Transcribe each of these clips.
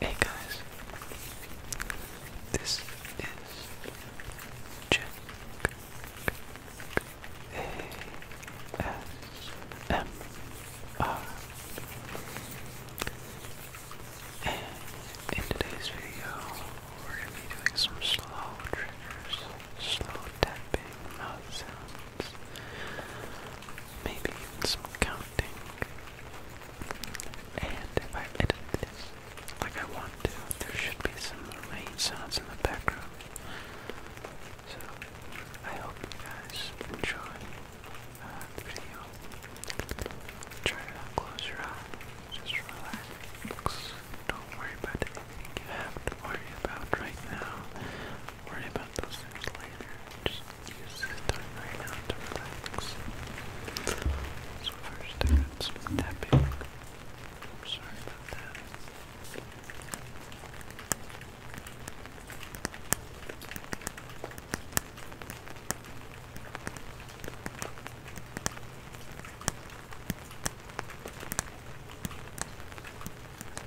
Hey guys, this is Jack ASMR, and in today's video, we're going to be doing some slow triggers, slow tapping, mouth sounds. Maybe some counting. And if I edit this like I want to, there should be some rain sounds in the background. So, I hope you guys enjoy uh, the video. Try to close your eyes, just relax. Don't worry about it you have to worry about right now. Worry about those later. Just use this time right now to relax. first I got am sorry about that.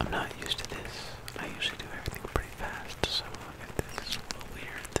I'm not used to this. I usually do everything pretty fast, so this is a little weird,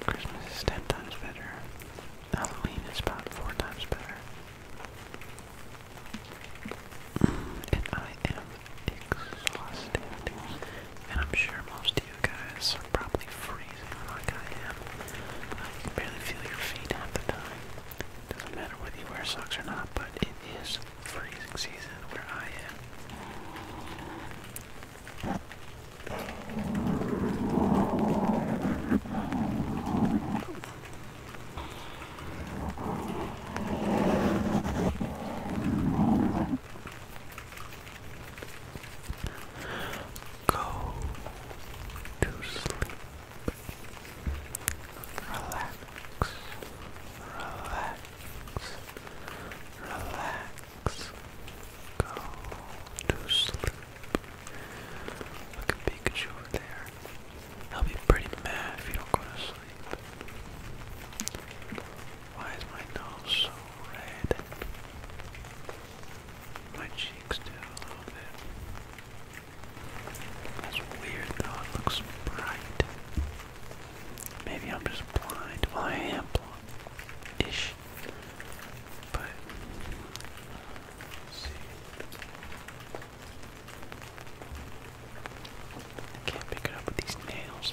Christmas is ten times better. Halloween is about four times better. Mm, and I am exhausted. And I'm sure most of you guys are probably freezing like I am. I uh, can barely feel your feet at the time. Doesn't matter whether you wear socks or not, but it is freezing season where I am. Go to sleep. Relax, relax, relax. Go to sleep. Look at Pikachu over there. He'll be pretty mad if you don't go to sleep. Why is my nose so red? My cheeks do a little bit. That's weird though, it looks bright. Maybe I'm just blind. Well, I am blind ish. But, see. can't pick it up with these nails.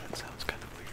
That sounds kind of weird.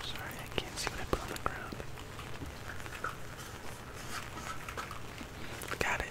Sorry, I can't see what I put on the ground. Got it.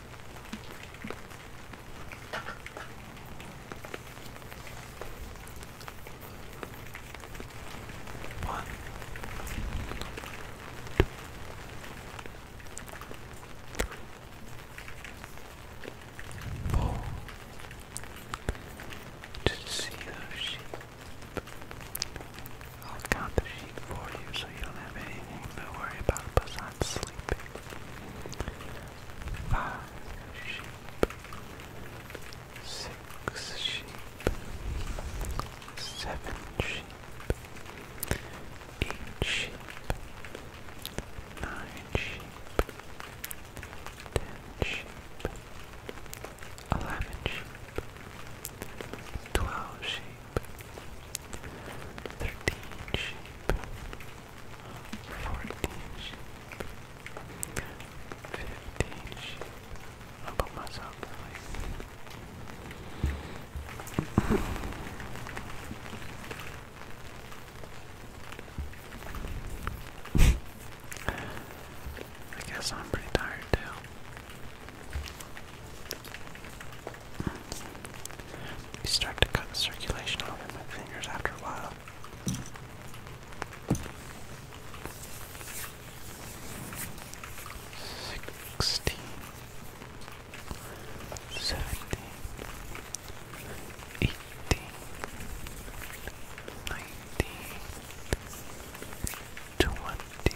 One. Four. To see those sheep. I'll count the sheep for you so you don't have anything to worry about besides sleep sleeping. Five sheep, six sheep, seven sheep, eight sheep, nine sheep, ten sheep, eleven sheep, twelve sheep sheep, i put myself away. I guess I'm pretty tired too. We start to cut the circulation off in my fingers after a while. Sixteen, seventeen, eighteen, nineteen, twenty,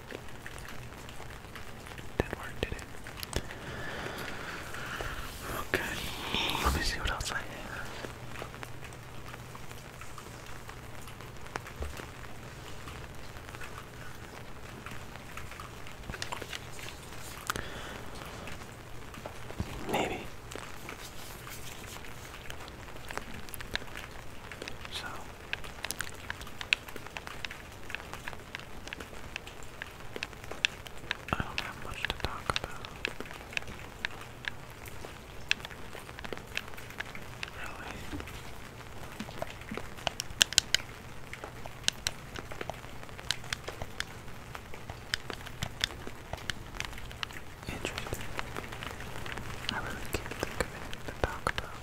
did work, did it? Okay, let me see what else I have. Maybe. So I don't have much to talk about. Really? Interesting. I really can't think of anything to talk about.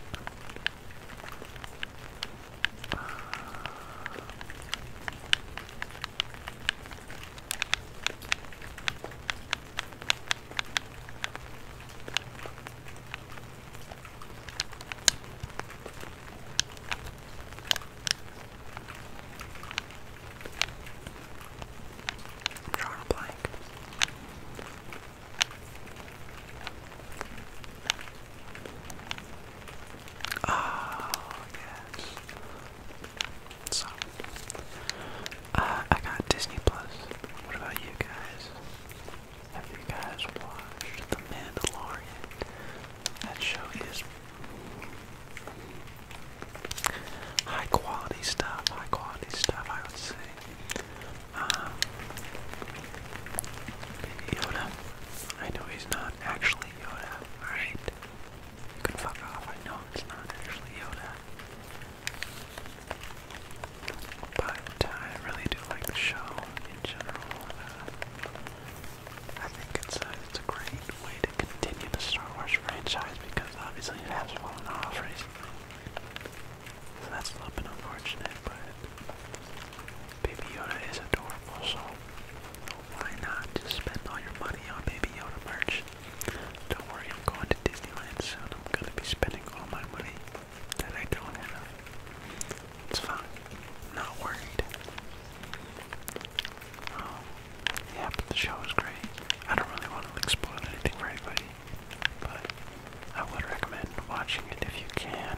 Uh, I'm drawing a blank. Oh, yes. So, uh, I got Disney Plus. What about you guys? Have you guys watched The Mandalorian? That show is high quality stuff, high quality stuff, I would say. Um, Yoda. I know he's not actually Yoda, alright? You fuck off, I know it's not actually Yoda. But I really do like the show in general. Uh, I think it's it's a great way to continue the Star Wars franchise because obviously it has fallen off recently. So that's a little bit unfortunate, but Baby Yoda is adorable, so why not just spend all your money on Baby Yoda merch? Don't worry, I'm going to Disneyland soon. I'm gonna be spending all my money that I don't have. It's fine. not worried. Um, yeah, but the show is great. I don't really want to spoil anything for anybody, but I would recommend watching it if you can.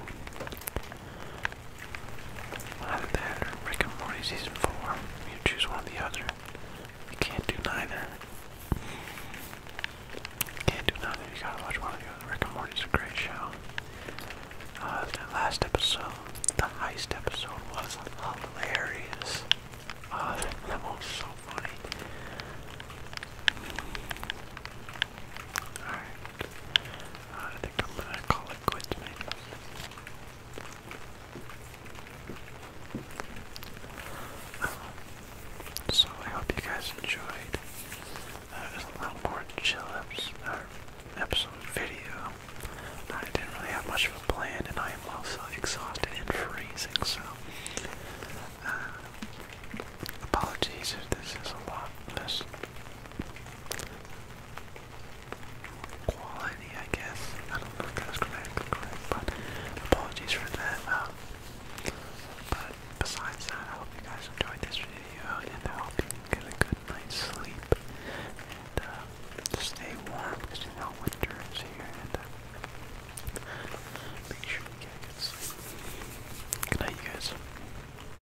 Either that or Rick and Morty Season 4. You choose one or the other. You can't do neither. Can't do nothing. You gotta watch one of the other. Rick and Morty's a great show. Uh, last episode, the heist episode, was hilarious. Uh, that so funny. Alright. Uh, i so I hope you guys enjoyed. That uh, was a little more chill episode, uh, episode video. I didn't really have much of a plan, and I am also exhausted and freezing, so. Uh, apologies if this is a lot less quality, I guess. I don't know if that's grammatically correct, but apologies for that. Um, but besides that, I hope you guys enjoyed this video, and I hope you get a good night's sleep, and uh, stay warm, because you know winter is here, and uh, make sure you get a good sleep. Good night, guys.